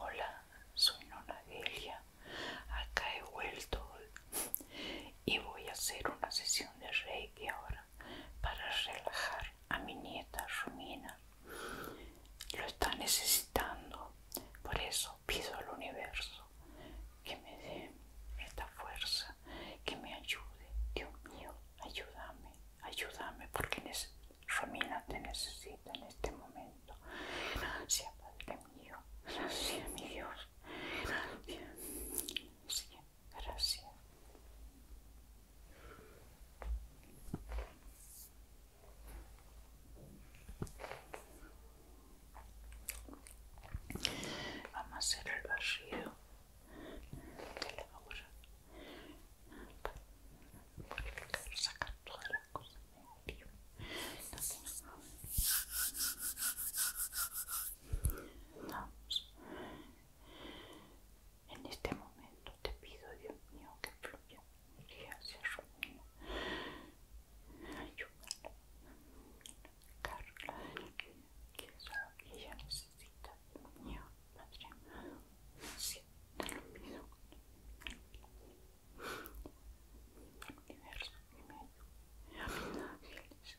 Hola, soy Nona Delia. Acá he vuelto y voy a hacer una sesión de Reiki ahora para relajar a mi nieta Romina. Lo está necesitando, por eso pido al universo que me dé esta fuerza, que me ayude. Dios mío, ayúdame, ayúdame, porque Romina te necesita en este momento. Gracias, Padre mío. Gracias, mi Dios. Gracias gracias Vamos a hacer el vacío la para sacar todas las cosas de Vamos. En este momento te pido, Dios mío, que fluya energía hacia Romina. Ayúdala. Carla, que que ella necesita, Dios mío, Padre Sí, te lo pido. Mi universo, mi medio, mis ángeles.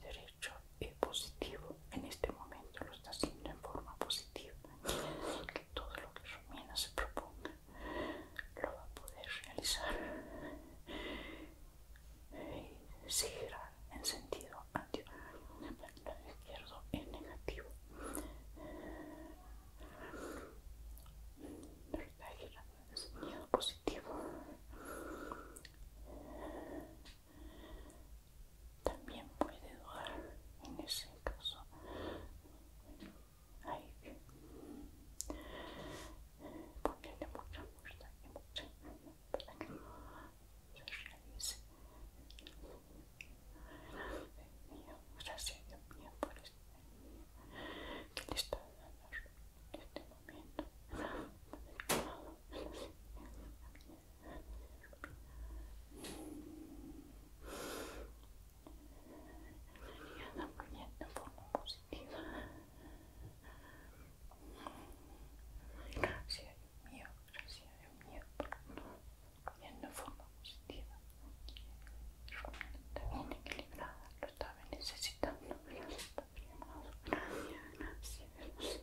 derecho es positivo, en este momento lo está haciendo en forma positiva. Que todo lo que Romina se proponga lo va a poder realizar y gira en sentido anterior. El izquierdo es negativo. Está girando en sentido positivo también puede dudar en ese caso hay que ponerle mucha fuerza y mucha para que no se realice el mío gracias Dios mío por este mío que le está dando en este momento Sería también de forma positiva. Gracias mío, gracias mío, de forma positiva. Está bien equilibrada, lo estaba necesitando. Gracias, gracias,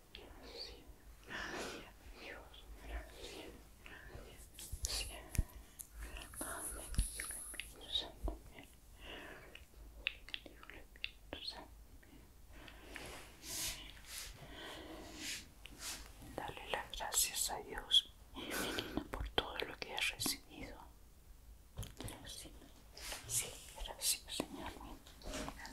gracias, gracias, Dios, gracias, gracias, dale las gracias a Dios, por todo lo que has recibido, gracias. Sí, gracias, señor. Gracias.